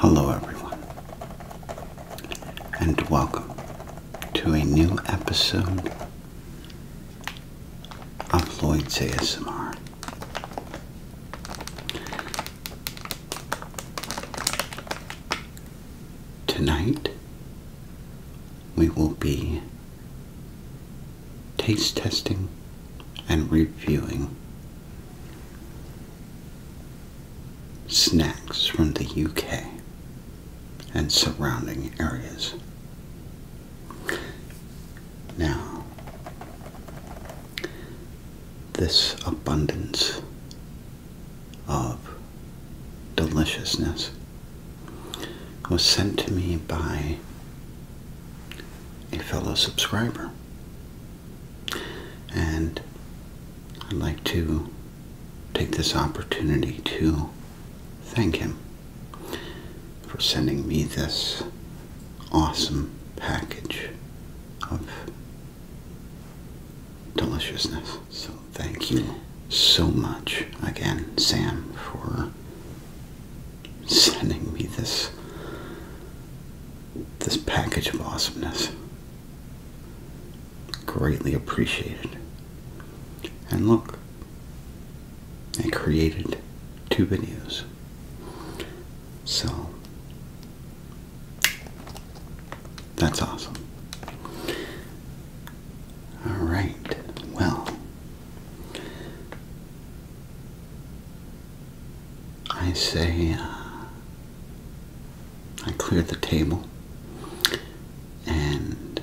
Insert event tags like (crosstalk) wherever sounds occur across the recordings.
Hello, everyone, and welcome to a new episode of Lloyd's ASMR. Tonight, we will be taste testing, and reviewing snacks from the UK and surrounding areas. Now, this abundance of deliciousness was sent to me by a fellow subscriber. And I'd like to take this opportunity to thank him for sending me this awesome package of deliciousness. So thank you so much again, Sam, for sending me this this package of awesomeness. Greatly appreciated. And look, I created two videos. So that's awesome. Alright, well, I say, uh, I clear the table and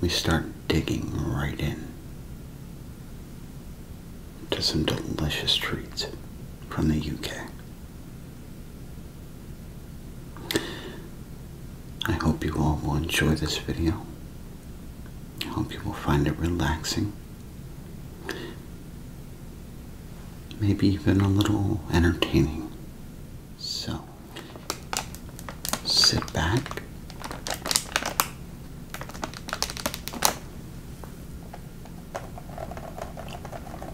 we start digging right in to some delicious treats from the UK. I hope you all will enjoy this video. I hope you will find it relaxing. Maybe even a little entertaining. So, sit back.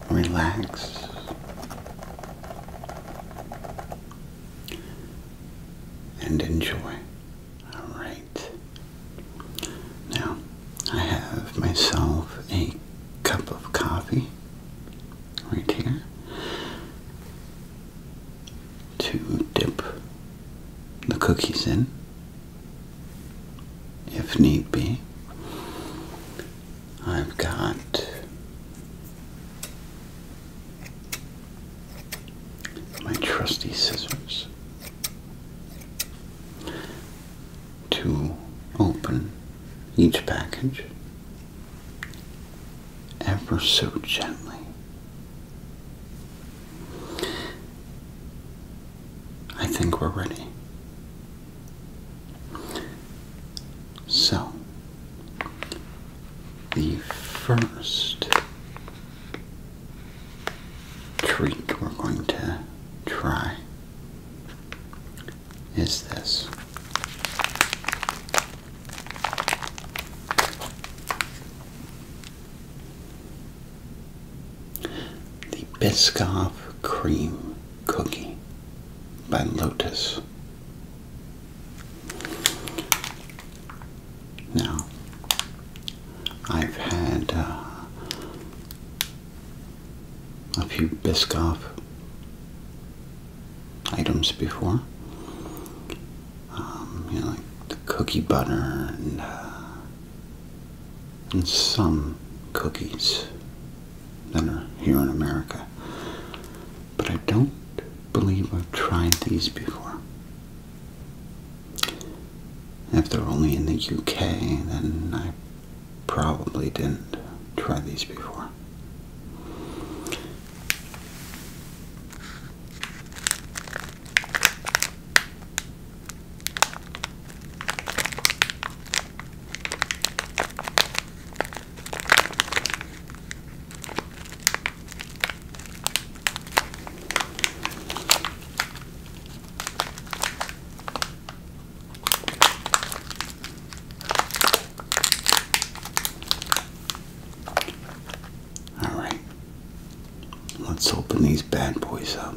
Relax. And enjoy. Alright. Now, I have myself a cup of coffee right here to dip the cookies in, if need be. I've got my trusty scissors to open each package ever so gently. I think we're ready. So, the first treat we're going to try is this. The Biscoff Cream Cookie by Lotus. Now, I've had uh, a few Biscoff items before. Um, you know, like the cookie butter uh, and some cookies that are here in America. But I don't believe I've tried these before. If they're only in the UK, then I probably didn't try these before. All right. Let's open these bad boys up.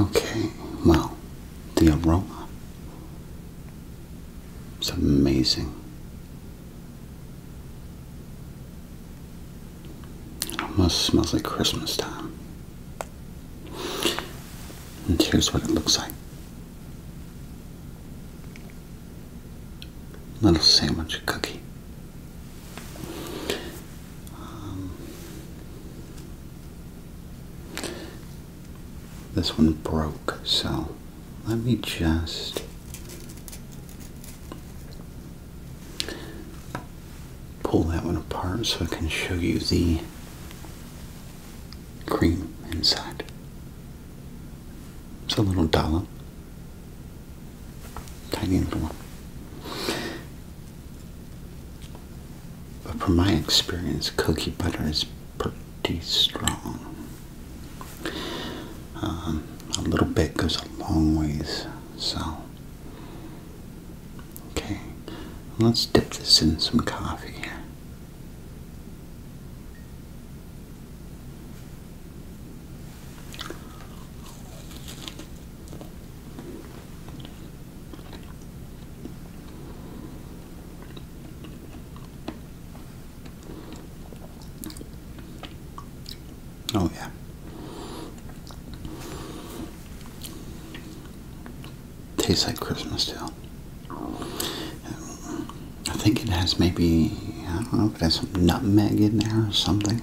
Okay, well, the aroma its amazing. It almost smells like Christmas time. And here's what it looks like little sandwich cookie. Um, this one broke, so let me just pull that one apart so I can show you the cream inside. It's a little dollop tiny little one. But from my experience, cookie butter is pretty strong. Um, a little bit goes a long ways, so. Okay, let's dip this in some coffee Oh, yeah. Tastes like Christmas, still. I think it has maybe, I don't know if it has some nutmeg in there or something.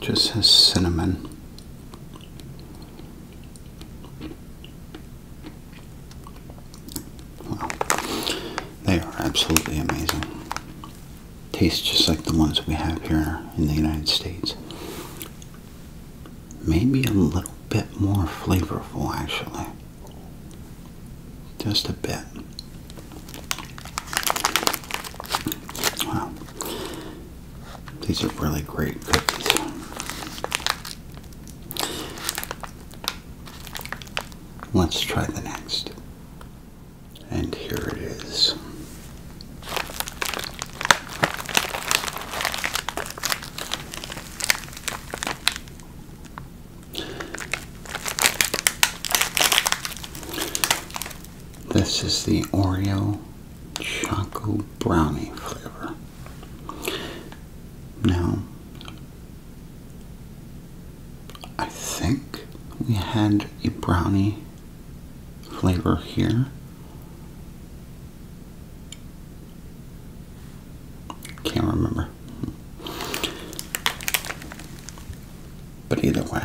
Just has cinnamon. Wow. They are absolutely amazing. Tastes just like the ones we have here in the United States. Maybe a little bit more flavorful, actually. Just a bit. Wow. These are really great cookies. Let's try the next. And here it is. This is the Oreo Choco Brownie flavor. Now, I think we had a brownie flavor here can't remember. But either way.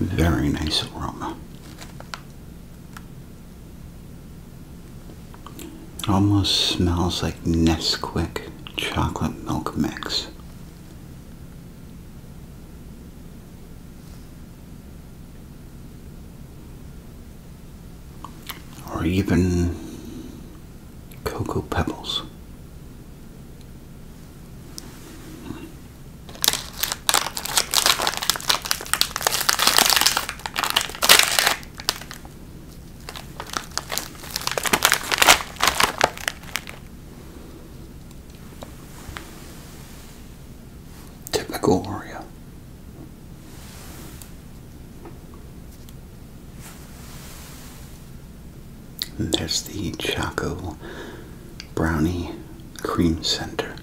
Very nice aroma. It almost smells like Nesquik chocolate milk mix. Or even cocoa pebbles. Typical Maria. There's the Choco Brownie Cream Center.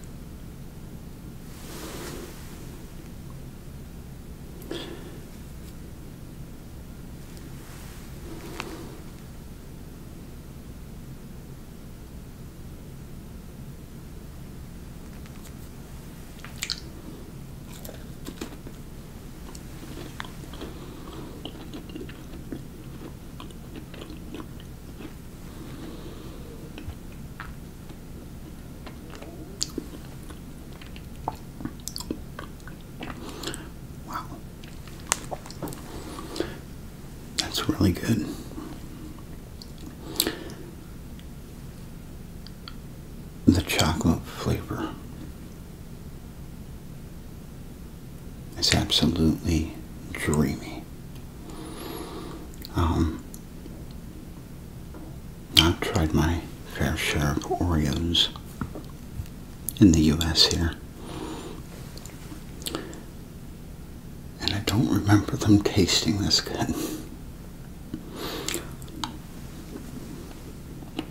Wow. That's really good. The chocolate flavor it's absolutely dreamy. Um, I've tried my fair share of Oreos in the U.S. here. And I don't remember them tasting this good.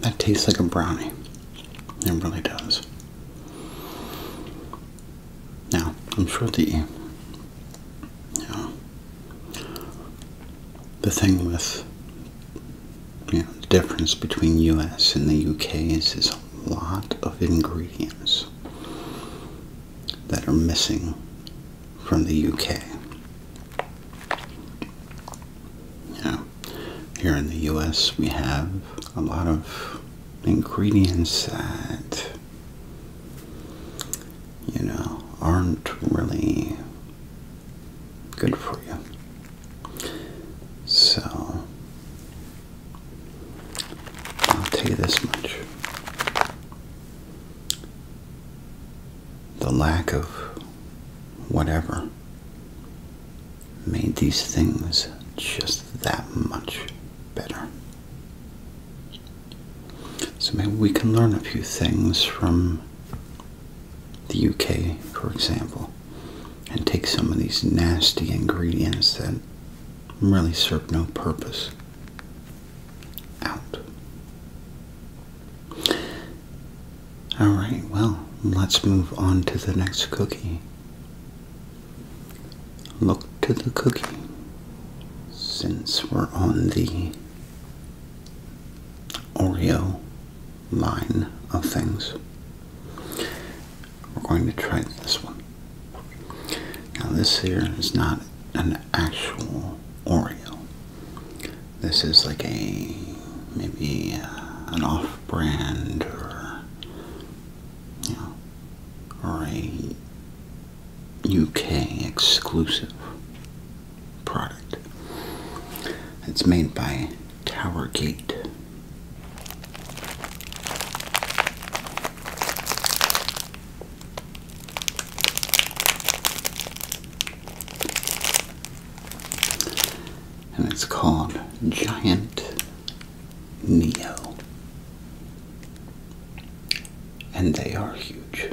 That tastes like a brownie. It really does. Now, I'm sure the you the thing with the difference between US and the UK is there's a lot of ingredients that are missing from the UK. Yeah. Here in the US, we have a lot of ingredients that, you know, aren't really good for you. So, I'll tell you this much the lack of whatever made these things just that much better. So maybe we can learn a few things from the UK, for example, and take some of these nasty ingredients that really serve no purpose out. All right, well, let's move on to the next cookie. Look to the cookie. Since we're on the Oreo line of things, we're going to try this one. Now, this here is not an actual Oreo. This is like a maybe uh, an off-brand or you know, or a UK exclusive product. It's made by Towergate and it's called Giant Neo. And they are huge.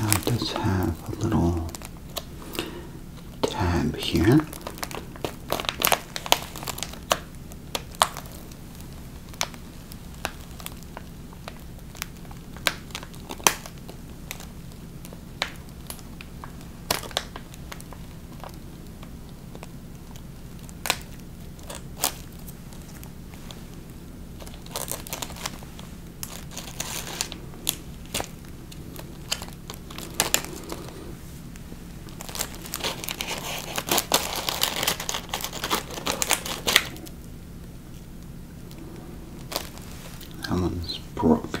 Now it does have a little tab here. That one's broken.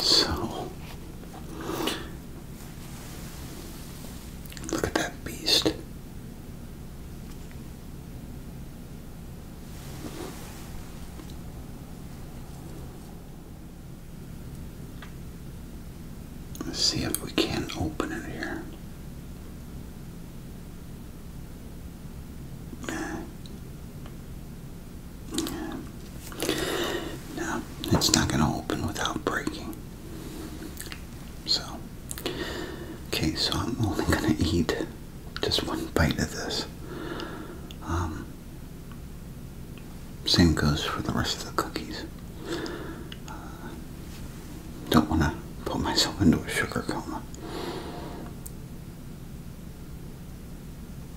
So, look at that beast. Let's see if we can not open it here. No, it's not going to open without breaking. So, okay, so I'm only going to eat just one bite of this. Um, same goes for the rest of the cookies. Uh, don't want to put myself into a sugar coma.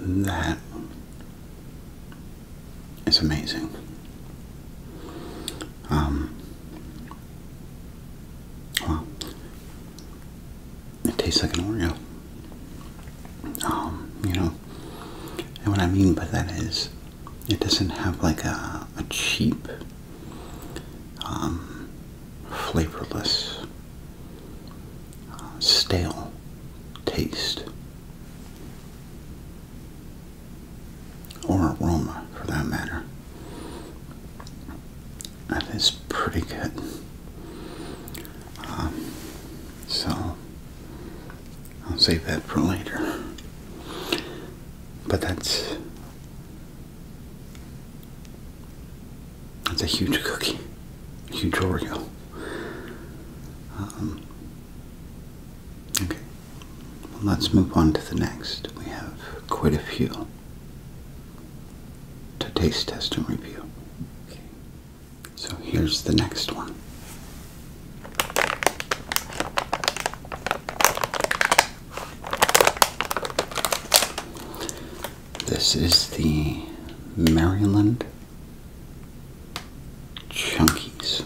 That is amazing. Um, well, it tastes like an Oreo. Um, you know, and what I mean by that is it doesn't have like a, cheap, um, flavorless stale taste or aroma for that matter. That is pretty good. Um, so I'll save that for later. But that's that's a huge cookie, huge Oreo. Um, okay, let's move on to the next. We have quite a few to taste test and review. Okay. So here's the next one. This is the Maryland Chunkies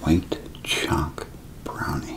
White Chalk Brownie.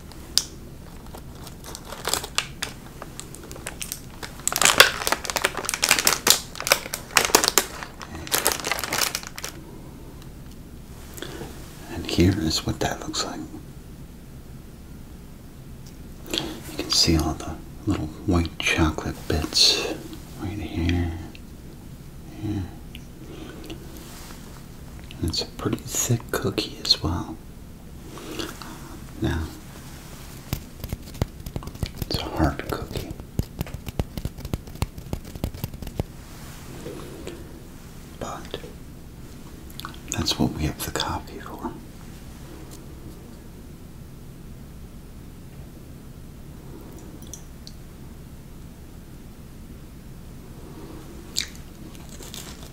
And here is what that looks like. You can see all the little white chocolate bits right here. here. And it's a pretty thick cookie as well. Now, it's a hard cookie. But that's what we have the copy for.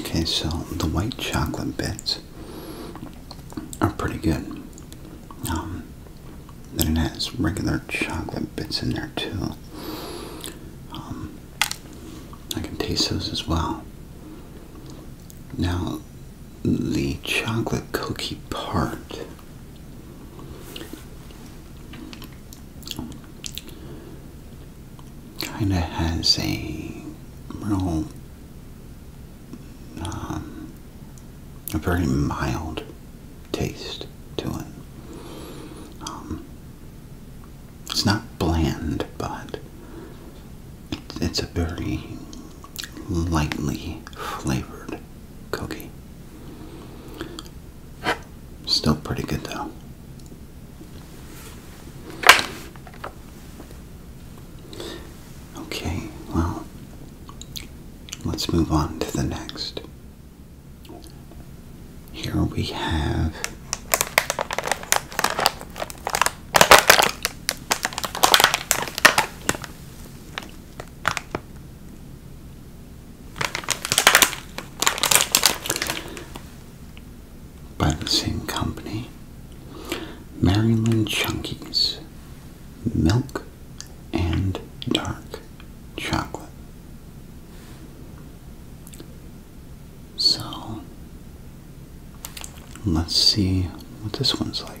Okay, so the white chocolate bits are pretty good. Um, then it has regular chocolate bits in there too. Um, I can taste those as well. Now, the chocolate cookie part. Kinda has a real, um, a very mild taste to it. Um, it's not bland, but it's a very lightly flavored cookie. Still pretty good though. Okay, well, let's move on to the next. Here we have by the same company, Maryland Chunkies, milk and dark chocolate. So let's see what this one's like.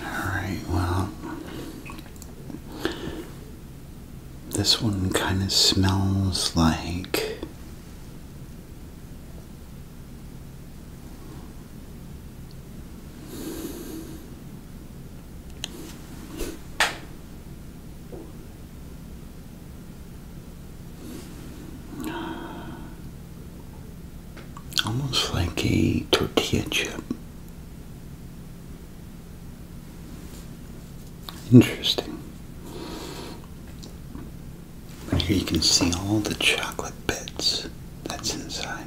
Alright, well, this one kind of smells like almost like a tortilla chip. Interesting. And here you can see all the chocolate bits that's inside.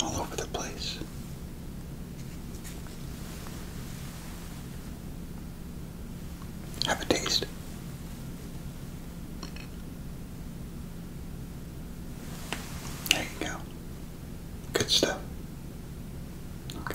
All over the place. Have a taste. There you go. Good stuff. Okay.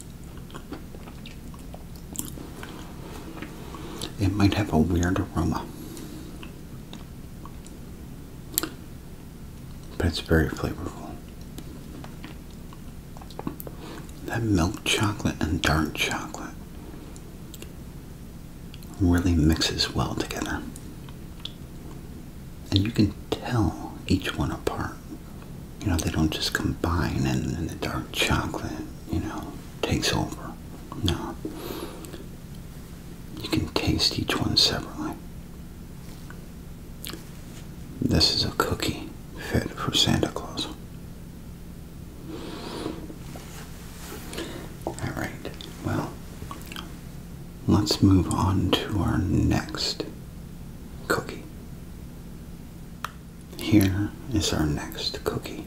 It might have a weird aroma, but it's very flavorful. That milk chocolate and dark chocolate really mixes well together. And you can tell each one apart you know, they don't just combine and, the dark chocolate, you know, takes over. No. You can taste each one separately. This is a cookie fit for Santa Claus. Alright, well, let's move on to our next cookie. Here is our next cookie.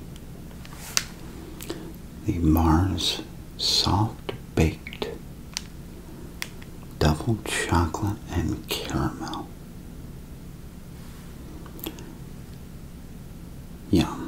The Mars Soft Baked Double Chocolate and Caramel. Yum.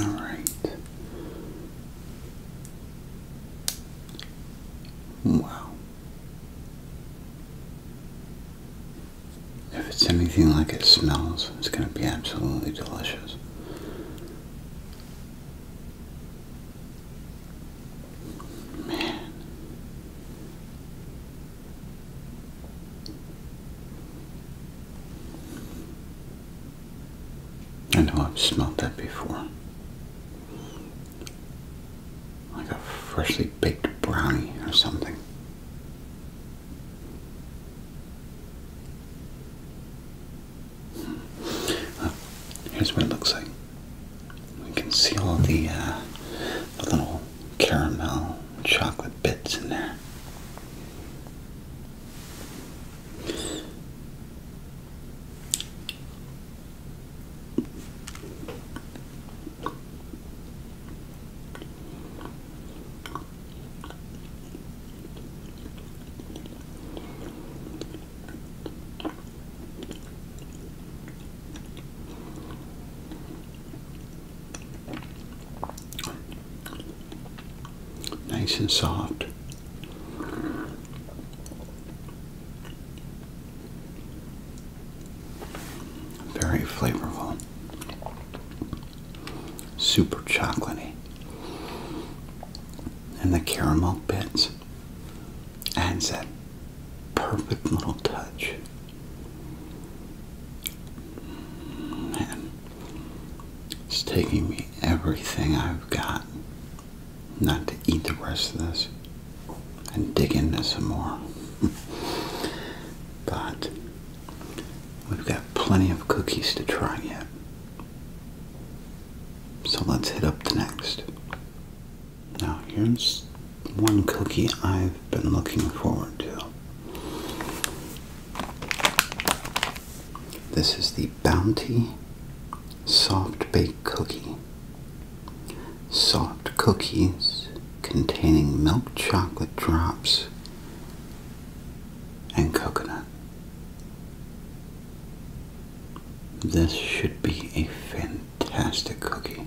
All right. Wow. If it's anything like it smells, it's going to be absolutely delicious. Man. I know I've smelled that before. Like a freshly baked brownie or something. Hmm. here's what it looks like. We can see all the, uh, the little caramel chocolate bits in there. Nice and soft. Very flavorful. Super chocolatey. And the caramel bits adds that perfect little touch Man, it's taking me everything I've got not to eat the rest of this and dig into some more. (laughs) but we've got plenty of cookies to try yet. So let's hit up the next. Now here's one cookie I've been looking forward to. This is the Bounty Soft Baked Cookie. Soft cookies containing milk chocolate drops and coconut. This should be a fantastic cookie.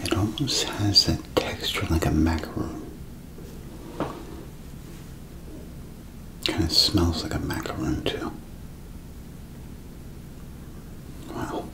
It almost has that texture like a macaroon. Kind of smells like a macaroon too. Wow.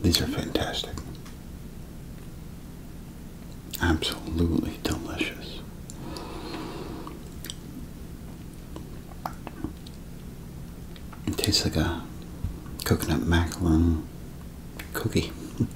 These are fantastic. Absolutely delicious. It tastes like a coconut macaron cookie. (laughs)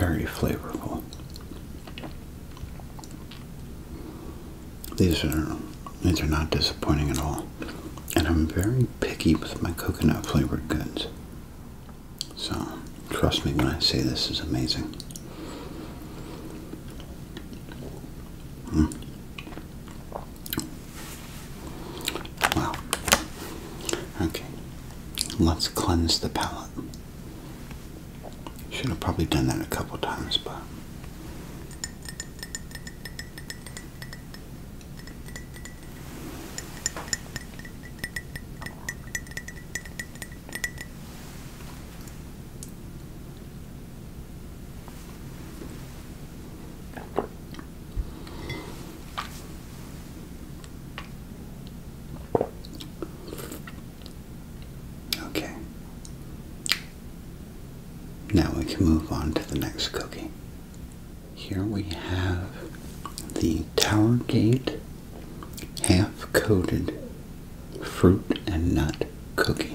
Very flavorful. These are these are not disappointing at all. And I'm very picky with my coconut flavored goods. So trust me when I say this is amazing. Hmm. Wow. Okay. Let's cleanse the palate. Should have probably done that a couple times, but. Okay. Now we can move on to the next cookie. Here we have the Tower Gate half coated fruit and nut cookie.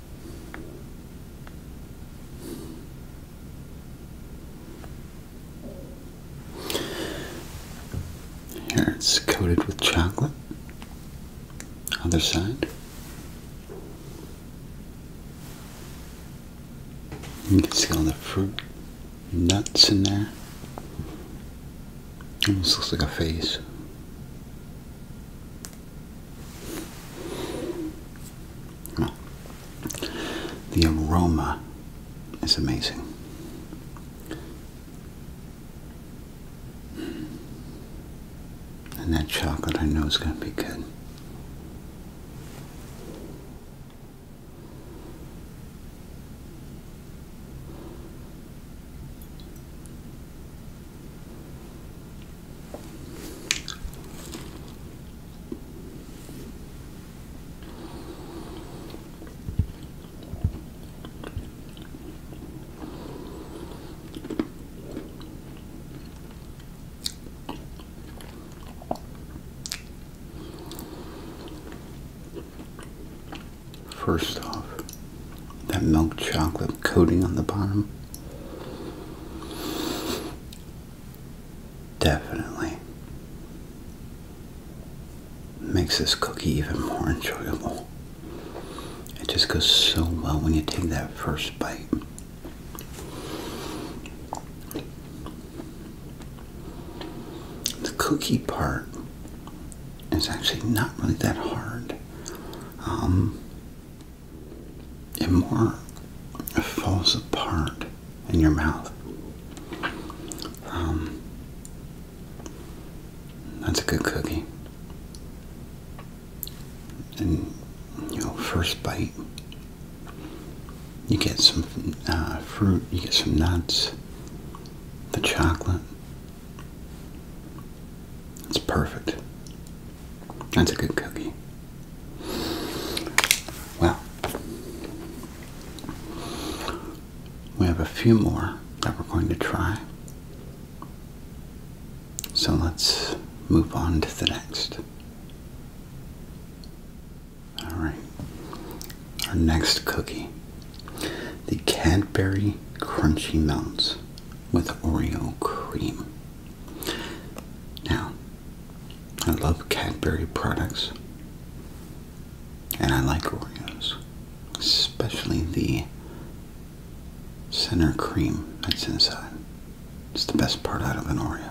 Here it's coated with chocolate. Other side. You can see all the fruit, nuts in there. Almost looks like a face. The aroma is amazing. And that chocolate I know is going to be good. First off, that milk chocolate coating on the bottom Definitely makes this cookie even more enjoyable. It just goes so well when you take that first bite. The cookie part is actually not really that hard. Um, it more falls apart in your mouth. Um, that's a good cookie. And you know, first bite, you get some uh, fruit, you get some nuts, the chocolate. It's perfect. That's a good cookie. Well, we have a few more that we're going to try. So let's move on to the next. All right. Our next cookie. The Cadbury Crunchy Melts with Oreo Cream. Now, I love Cadbury products, and I like Oreos, especially the center cream that's inside. It's the best part out of an Oreo.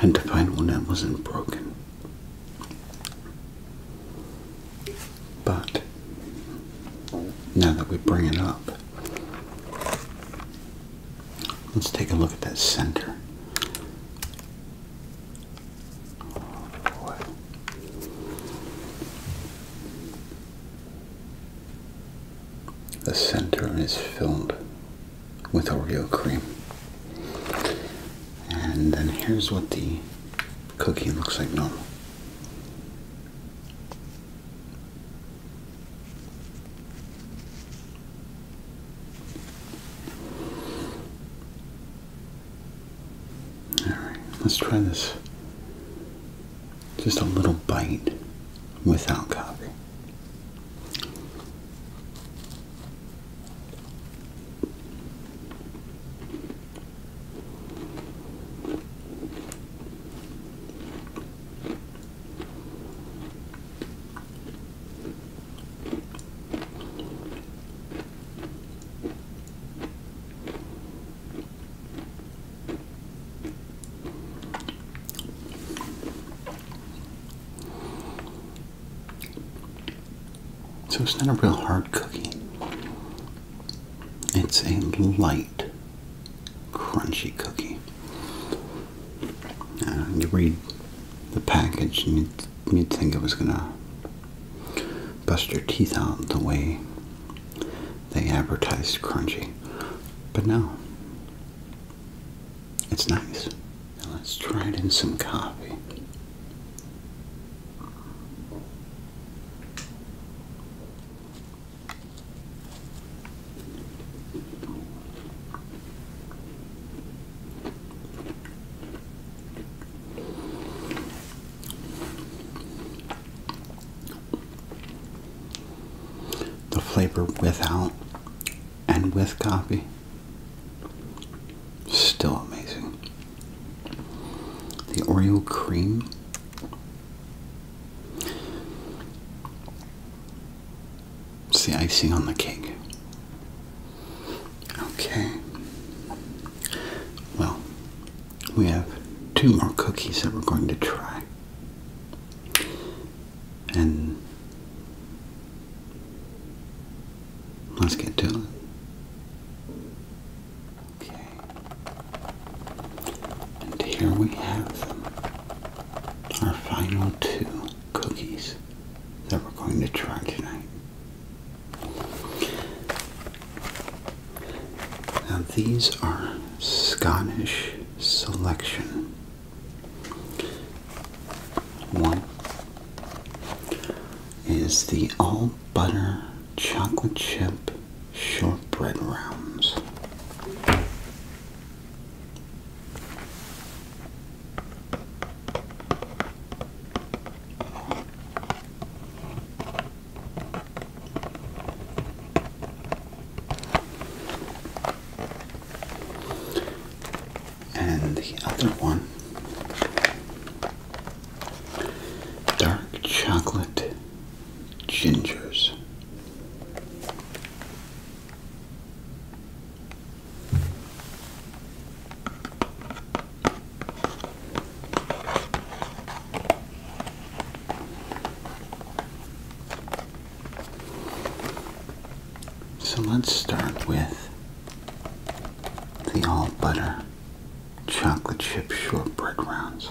And to find one that wasn't broken. But now that we bring it up, let's take a look at that center. Oh, the center is filled with Oreo cream. And then here's what the cookie looks like normal. Alright, let's try this. Just a little bite without coffee. So it's not a real hard cookie. It's a light, crunchy cookie. Uh, you read the package and you you'd think it was going to bust your teeth out the way they advertised crunchy. But no. It's nice. let's try it in some coffee the flavor without and with coffee still amazing the oreo cream it's the icing on the cake okay well we have two more cookies that we're going to try. And let's get to it. Okay. And here we have Our final two cookies that we're going to try tonight. Now these are Scottish selection. One is the all butter chocolate chip shortbread rounds and the other one dark chocolate gingers. So let's start with the all butter chocolate chip shortbread rounds.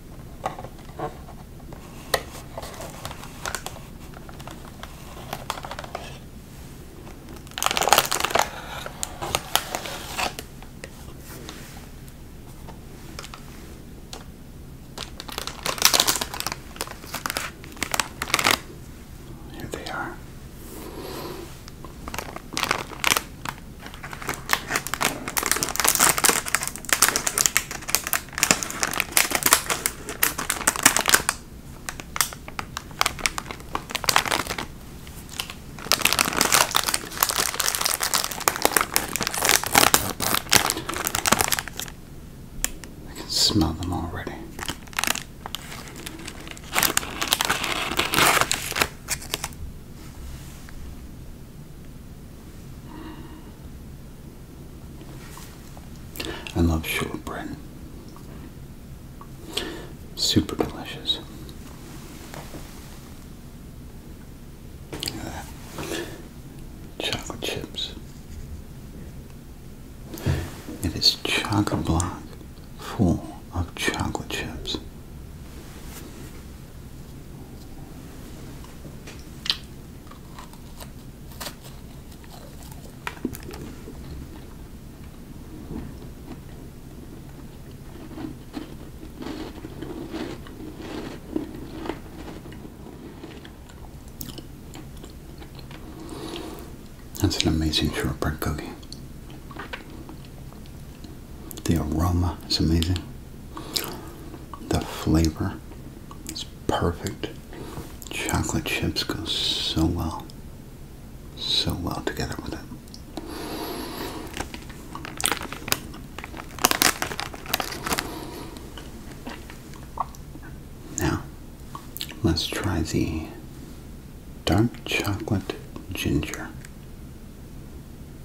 Here they are. I can smell them already. I love shortbread. Super delicious. chocolate chips. It is chocolate block full of chocolate chips. That's an amazing shortbread cookie. The aroma is amazing. The flavor is perfect. Chocolate chips go so well. So well together with it. Now, let's try the dark chocolate ginger.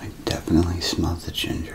I definitely smell the ginger.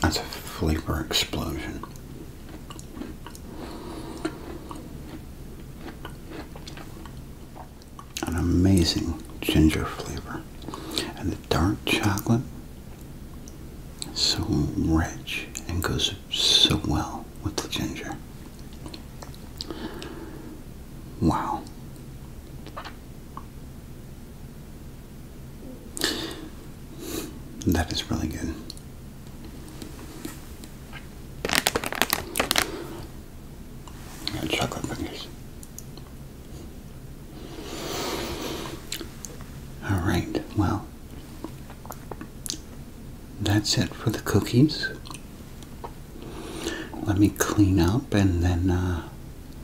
That's a flavor explosion. An amazing ginger flavor. And the dark chocolate so rich and goes so well with the ginger. Wow. That is really good. chocolate fingers. All right, well, that's it for the cookies. Let me clean up and then uh,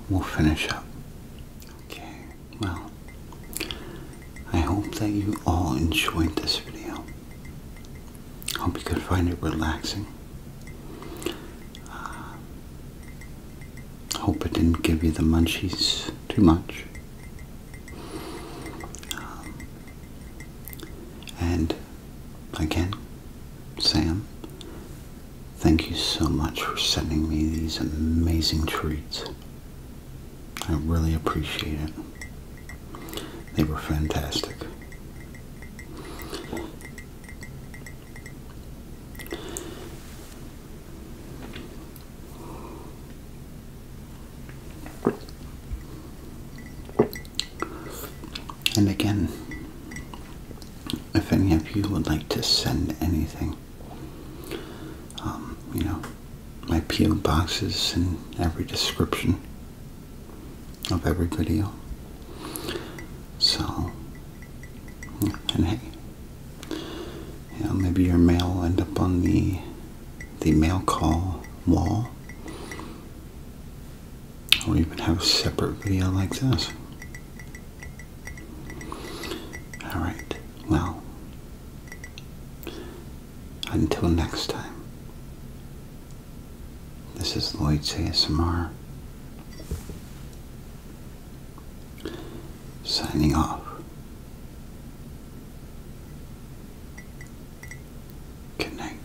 we'll finish up. Okay, well, I hope that you all enjoyed this video. Hope you could find it relaxing. Uh, hope it didn't give you the munchies too much. Um, and again, Sam, Thank you so much for sending me these amazing treats. I really appreciate it. They were fantastic. And again, if any of you would like to send anything, um, you know, my PO box in every description of every video. So, and hey, you maybe your mail will end up on the the mail call wall, or even have a separate video like this. All right. Well, until next time. This is Lloyd's ASMR signing off. Good night.